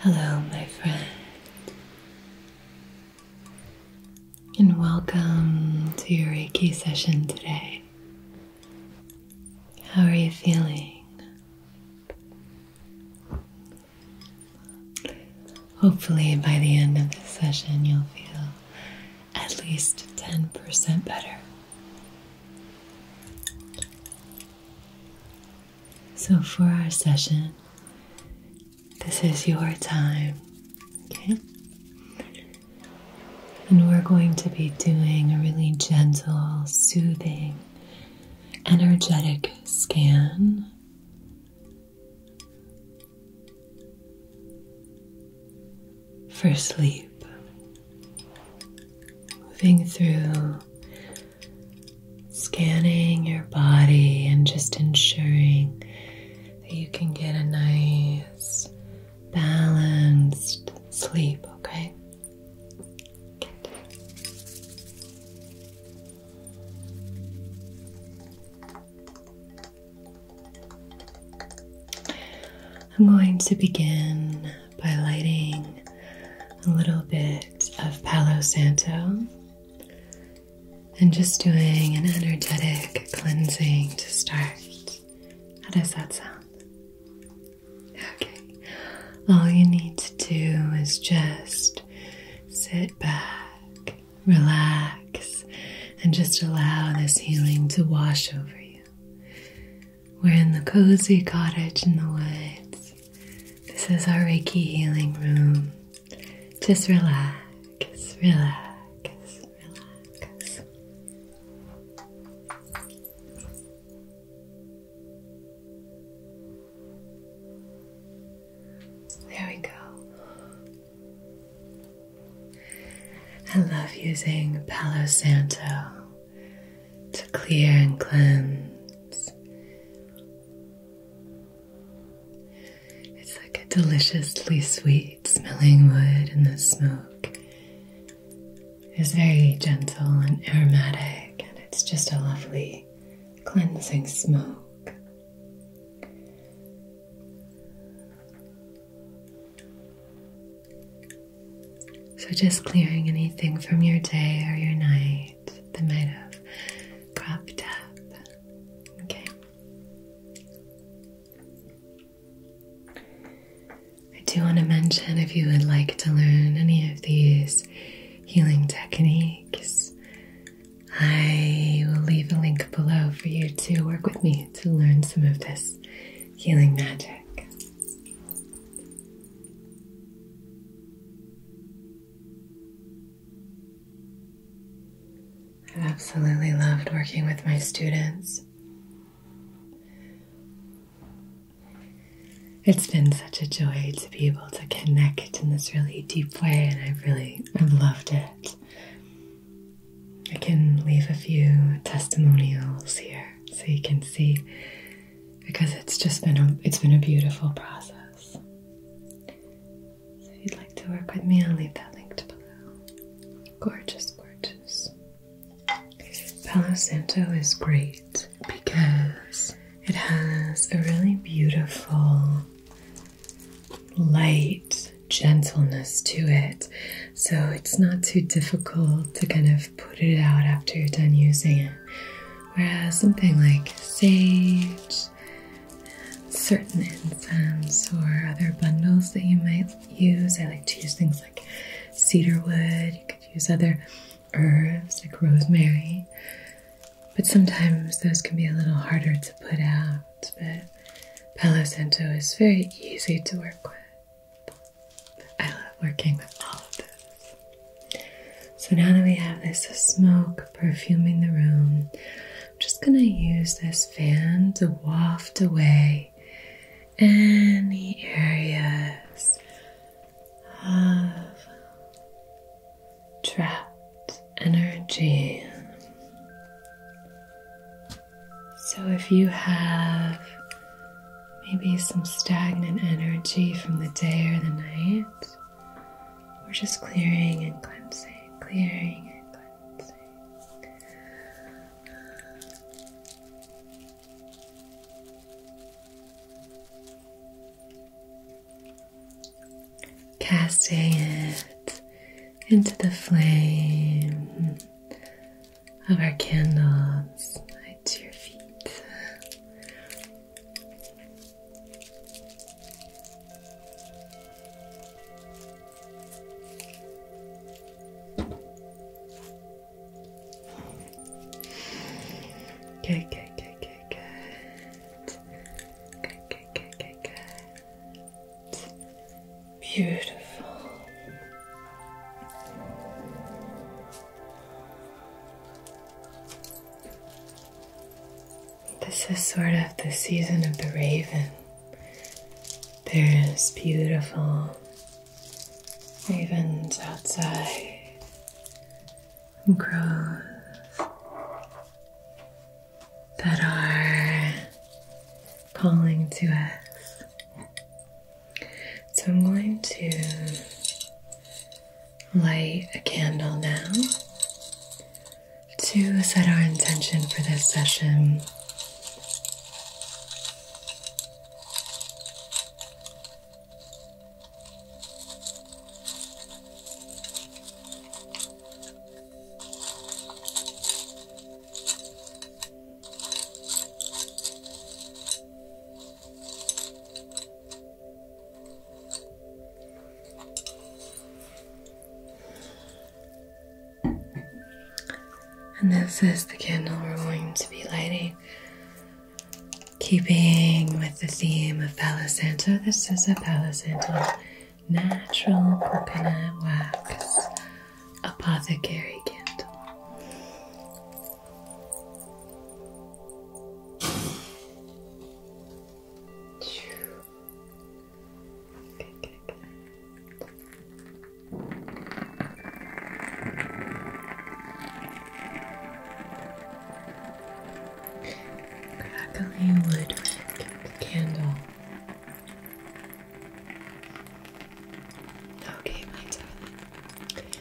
Hello, my friend, and welcome to your Reiki session today. How are you feeling? Hopefully, by the end of this session, you'll feel at least 10% better. So, for our session, this is your time, okay? And we're going to be doing a really gentle, soothing, energetic scan for sleep, moving through, scanning your body, and just ensuring that you can get a nice, balanced sleep, okay? I'm going to begin by lighting a little bit of Palo Santo and just doing an energetic cleansing to start. How does that sound? Okay, all you need to do is just sit back relax, and just allow this healing to wash over you. We're in the cozy cottage in the woods. This is our Reiki healing room. Just relax, relax, relax. There we go. I love using Palo Santo to clear and cleanse. It's like a deliciously sweet smelling wood, and the smoke is very gentle and aromatic, and it's just a lovely cleansing smoke. So, just clearing anything from your day or your night that might have cropped up. Okay. I do want to mention if you would like to learn any of these healing techniques, I will leave a link below for you to work with me to learn some of this healing magic. i absolutely loved working with my students. It's been such a joy to be able to connect in this really deep way, and i really I've loved it. I can leave a few testimonials here so you can see because it's just been a it's been a beautiful process. So if you'd like to work with me, I'll leave that linked below. Gorgeous, gorgeous. Palo Santo is great because it has a really beautiful light gentleness to it. So it's not too difficult to kind of put it out after you're done using it. Whereas something like sage, certain incense, or other bundles that you might use, I like to use things like cedar wood, you could use other herbs like rosemary. But sometimes those can be a little harder to put out but Palo is very easy to work with. I love working with all of this. So now that we have this smoke perfuming the room, I'm just gonna use this fan to waft away any areas of trapped energy. So, if you have maybe some stagnant energy from the day or the night, we're just clearing and cleansing, clearing and cleansing. Casting it into the flame of our candles light to your feet. Good, good, good, good, good. Good, good, good, good, good. Beautiful. This is sort of the season of the raven. There's beautiful ravens outside and crows that are calling to us. So I'm going to light a candle now to set our intention for this session. And this is the candle we're going to be lighting. Keeping with the theme of palisanto. this is a palisanto natural coconut wax apothecary candle. Good, good, candle. Okay, my darling.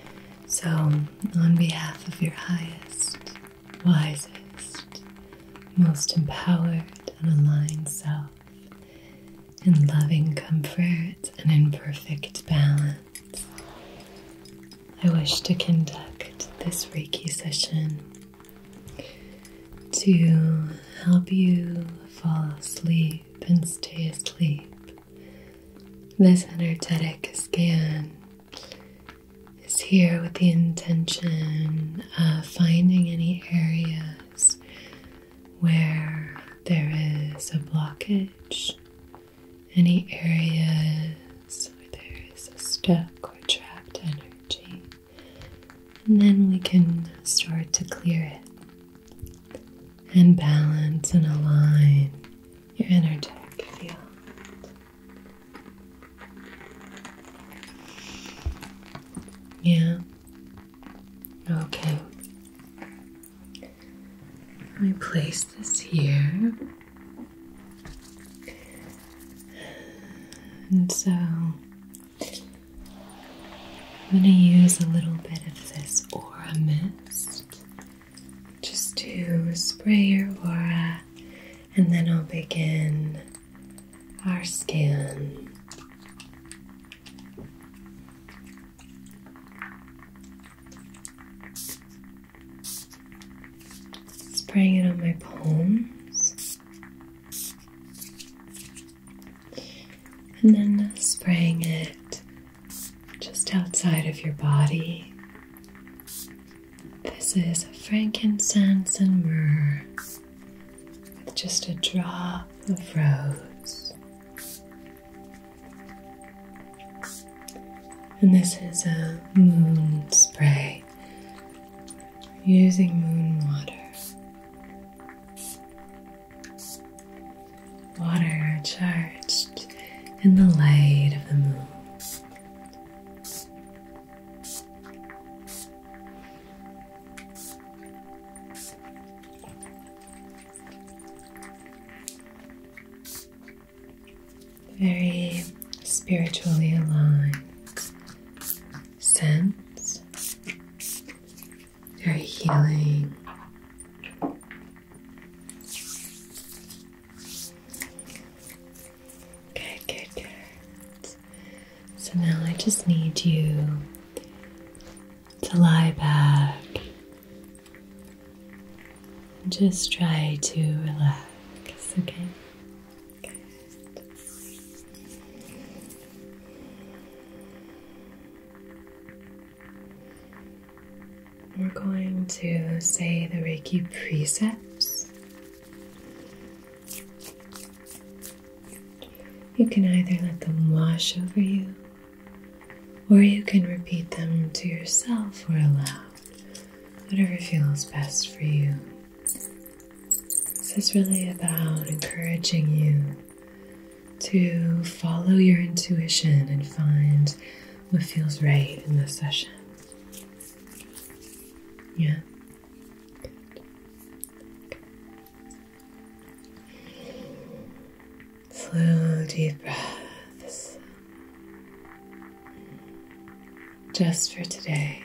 So, on behalf of your highest, wisest, most empowered and aligned self, in loving comfort and in perfect balance, I wish to conduct this Reiki session to help you fall asleep and stay asleep. This energetic scan is here with the intention of finding any areas where there is a blockage, any areas where there is a stuck or trapped energy. And then we can start to clear it and balance and align your energetic field. Yeah. Okay. I place this here. And so I'm going to use a little bit of this aura mist just to spray your aura, and then I'll begin our skin. Spraying it on my palms and then spraying it just outside of your body. This is frankincense and myrrh with just a drop of rose. And this is a moon spray using moon water. Water charged in the light of the moon. Very spiritually aligned sense. You're healing. Good, good, good. So now I just need you to lie back and just try to relax, okay? We're going to say the Reiki precepts. You can either let them wash over you, or you can repeat them to yourself or aloud, whatever feels best for you. This is really about encouraging you to follow your intuition and find what feels right in this session. Yeah. Slow, deep breaths. Just for today,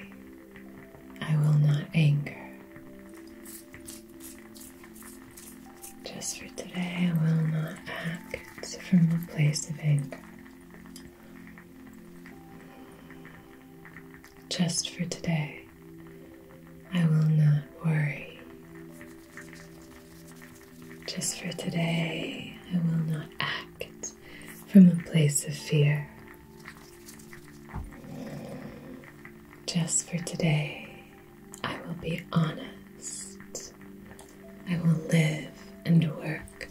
I will not anger. Just for today, I will not act from a place of anger. Just for today, I will not worry. Just for today, I will not act from a place of fear. Just for today, I will be honest. I will live and work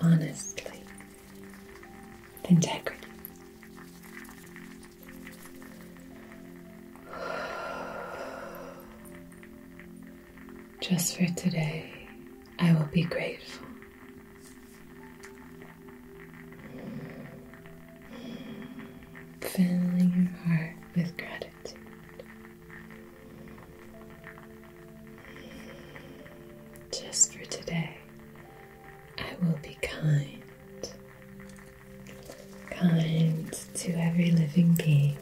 honestly, integrity. Just for today, I will be grateful filling your heart with gratitude. Just for today, I will be kind. Kind to every living being.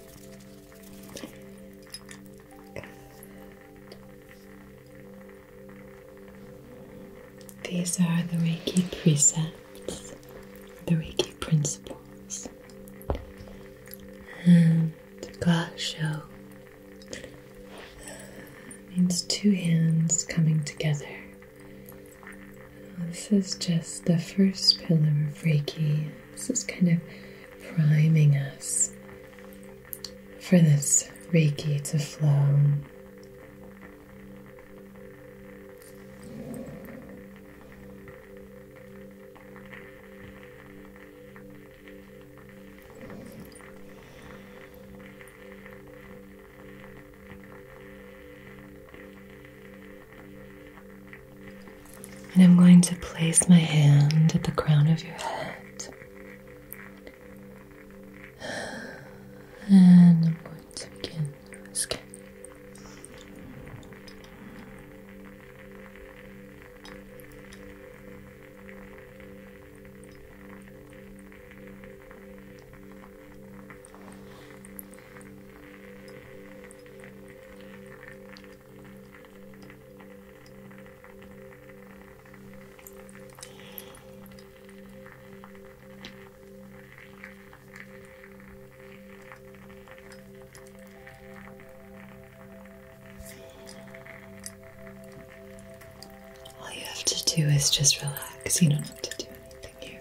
These are the Reiki precepts, the Reiki principles, and the Glasho means two hands coming together. This is just the first pillar of Reiki. This is kind of priming us for this Reiki to flow and I'm going to place my hand at the crown of your head and I'm going to begin scan. All you have to do is just relax. You don't have to do anything here.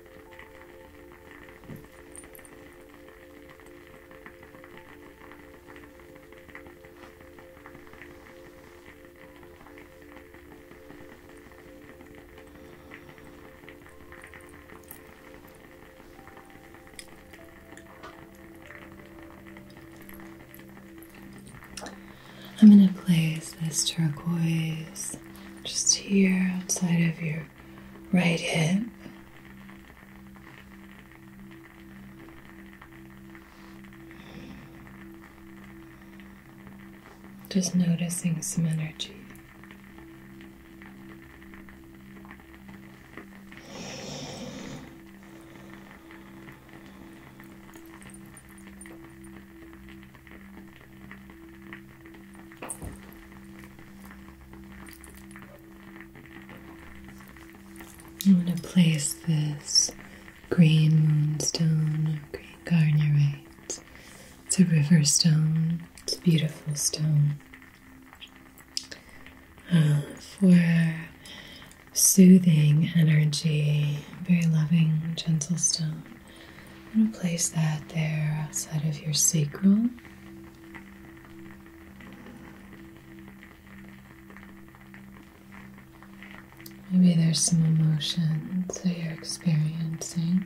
I'm going to place this turquoise just here outside of your right here, Just noticing some energy. I'm going to place this green moonstone, or green garnierite. It's a river stone, it's a beautiful stone. Uh, for soothing energy, very loving, gentle stone. I'm going to place that there outside of your sacral. Maybe there's some emotions that you're experiencing.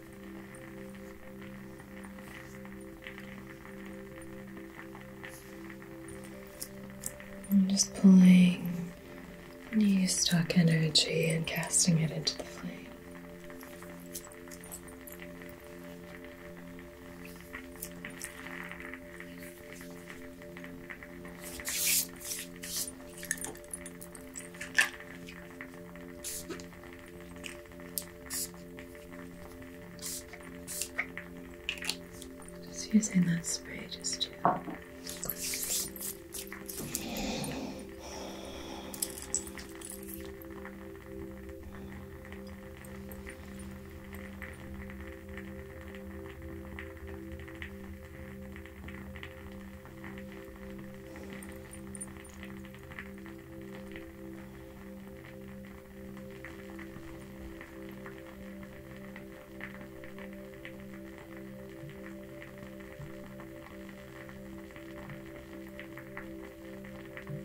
I'm just pulling new stock energy and casting it into the flame. Just using that spray just to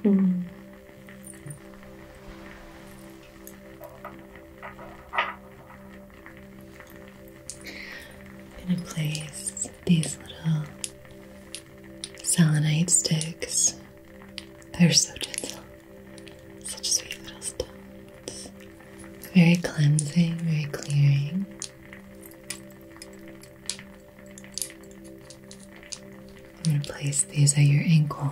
in a place these little selenite sticks. They're so gentle. Such sweet little stones. Very cleansing, very clearing. I'm going to place these at your ankles.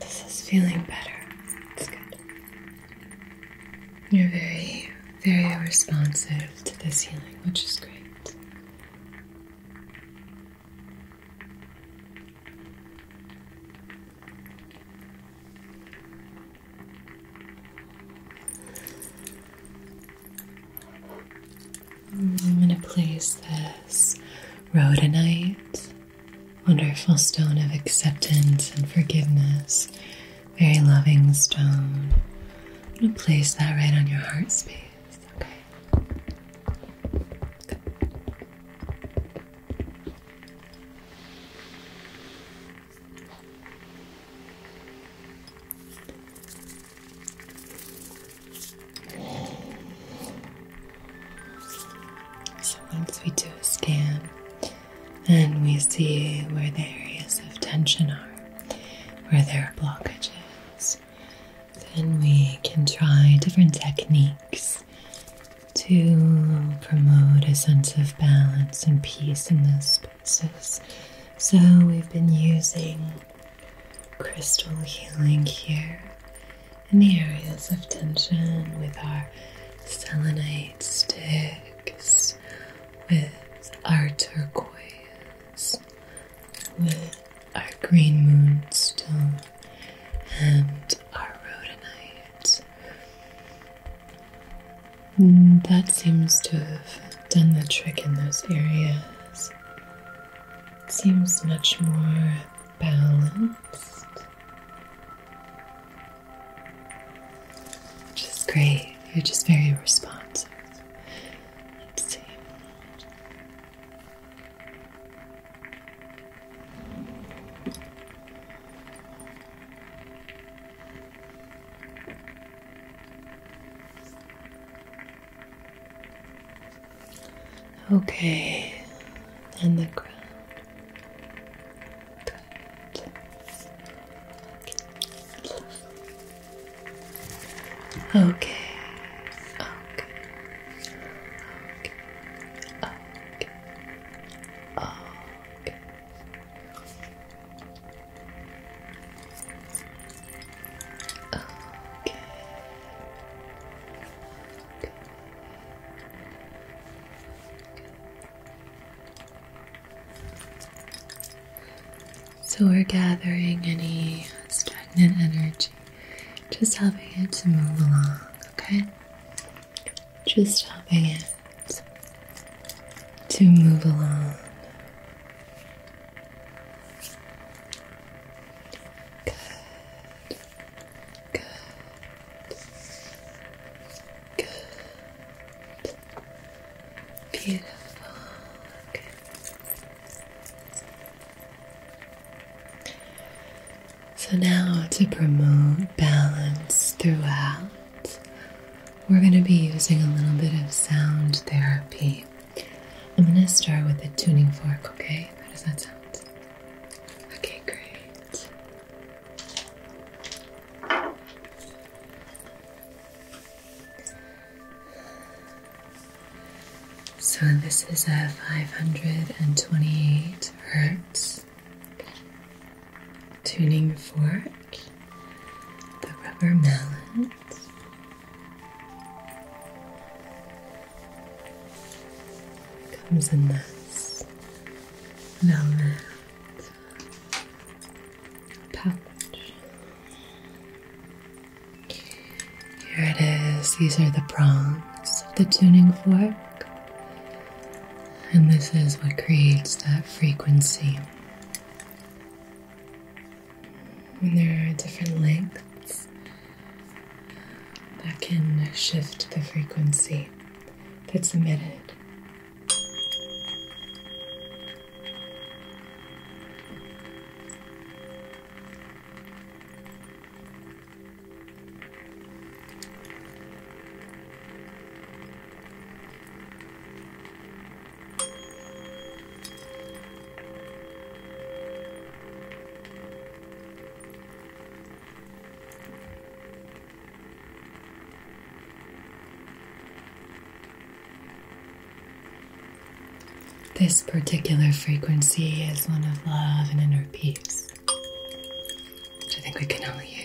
This is feeling better. It's good. You're very, very responsive to this healing, which is great. I'm going to place this rhodonite, wonderful stone of acceptance and forgiveness, very loving stone. I'm going to place that right on your heart space, okay? So once we do a scan and we see where the areas of tension are, where there are blockages, then we can try different techniques to promote a sense of balance and peace in those spaces. So we've been using crystal healing here in the areas of tension with our selenite sticks, with our turquoise, with our green moonstone, and our rhodonite. And mm, that seems to have done the trick in those areas. It seems much more balanced, which is great. You're just very responsive. Let's see. Okay, and the crown. Good. Okay. Okay. Okay. Okay. Okay. Okay. So we're gathering any stagnant energy, just helping it to move along, okay? Just helping it to move along. Good. Good. Good. Beautiful. So now to promote balance throughout, we're going to be using a little bit of sound therapy. I'm going to start with a tuning fork, okay? How does that sound? Okay, great. So this is a 528 hertz tuning fork, the rubber mallet, comes in this velvet pouch. Here it is. These are the prongs of the tuning fork, and this is what creates that frequency. And there are different lengths that can shift the frequency that's emitted. This particular frequency is one of love and inner peace, I think we can only use.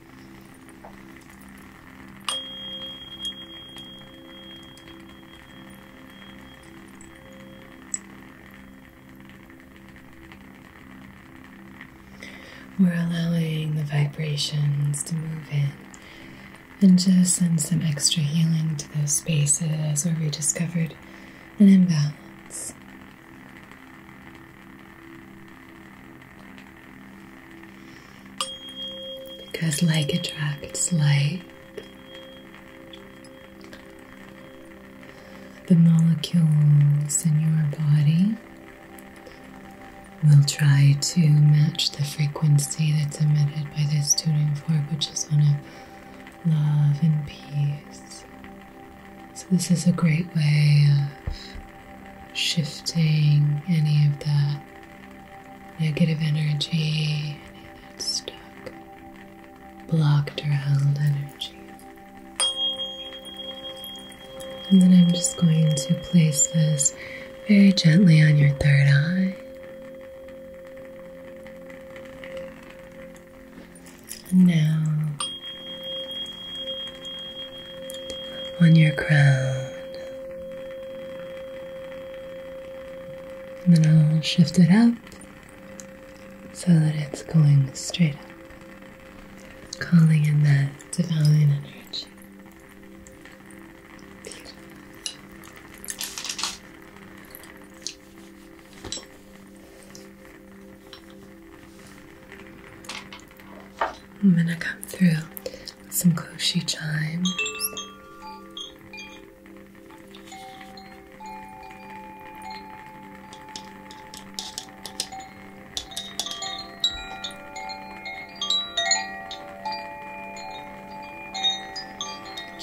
We're allowing the vibrations to move in and just send some extra healing to those spaces where we discovered an imbalance. Because like attracts like. The molecules in your body will try to match the frequency that's emitted by this tuning fork, which is on a love and peace. So, this is a great way of shifting any of the negative energy, any of that stuck, blocked or held energy. And then I'm just going to place this very gently on your third eye. And now on your crown. And then I'll shift it up so that it's going straight up, calling in that divine energy. I'm gonna come through some koshi chimes.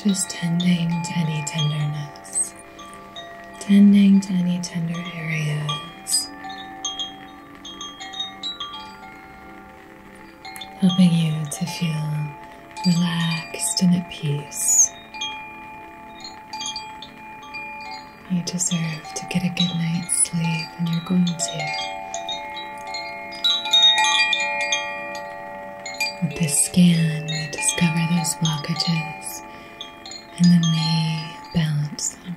Just tending to any tenderness, tending to any tender areas helping you to feel relaxed and at peace. You deserve to get a good night's sleep, and you're going to. With this scan, we discover those blockages and then we balance them.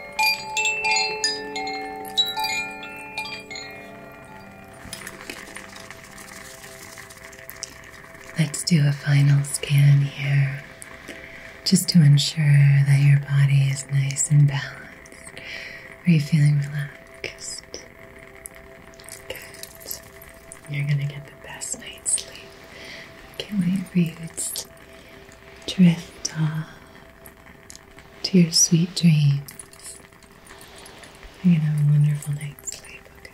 Let's do a final scan here just to ensure that your body is nice and balanced. Are you feeling relaxed? Good. You're going to get the best night's sleep. I can't wait for you to drift off to your sweet dreams. have a wonderful night's sleep, okay?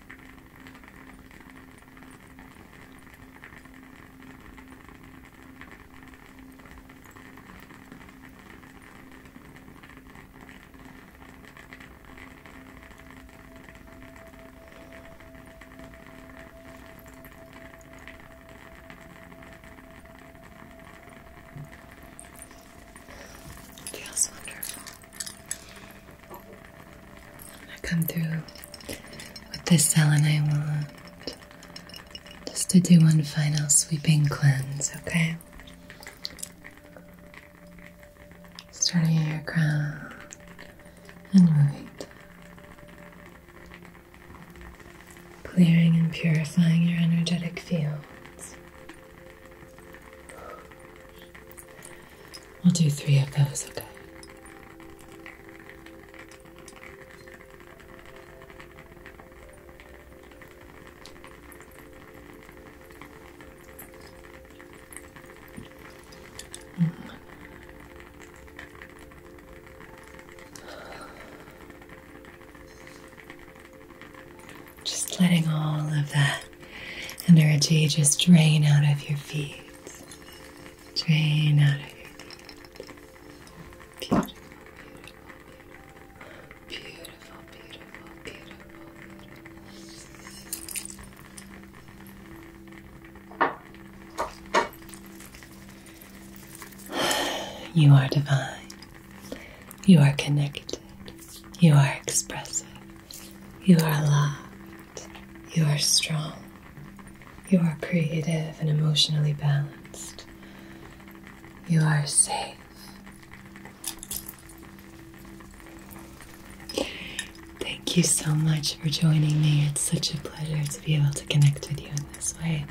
It feels wonderful. I come through with this I want just to do one final sweeping cleanse, okay? Starting your crown and moving, clearing and purifying your energetic fields. We'll do three of those, okay? Just letting all of that energy just drain out of your feet. Drain out of you. beautiful, beautiful, beautiful, beautiful. beautiful. You are divine. You are connected. You are expressive. You are loved. You are strong. You are creative and emotionally balanced. You are safe. Thank you so much for joining me. It's such a pleasure to be able to connect with you in this way.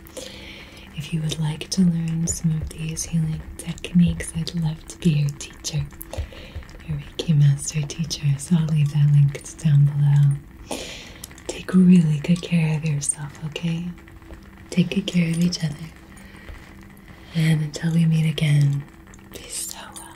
If you would like to learn some of these healing techniques, I'd love to be your teacher teacher, your Reiki master teacher. So I'll leave that link down below. Take really good care of yourself, okay? Take good care of each other. And until we meet again, be so well.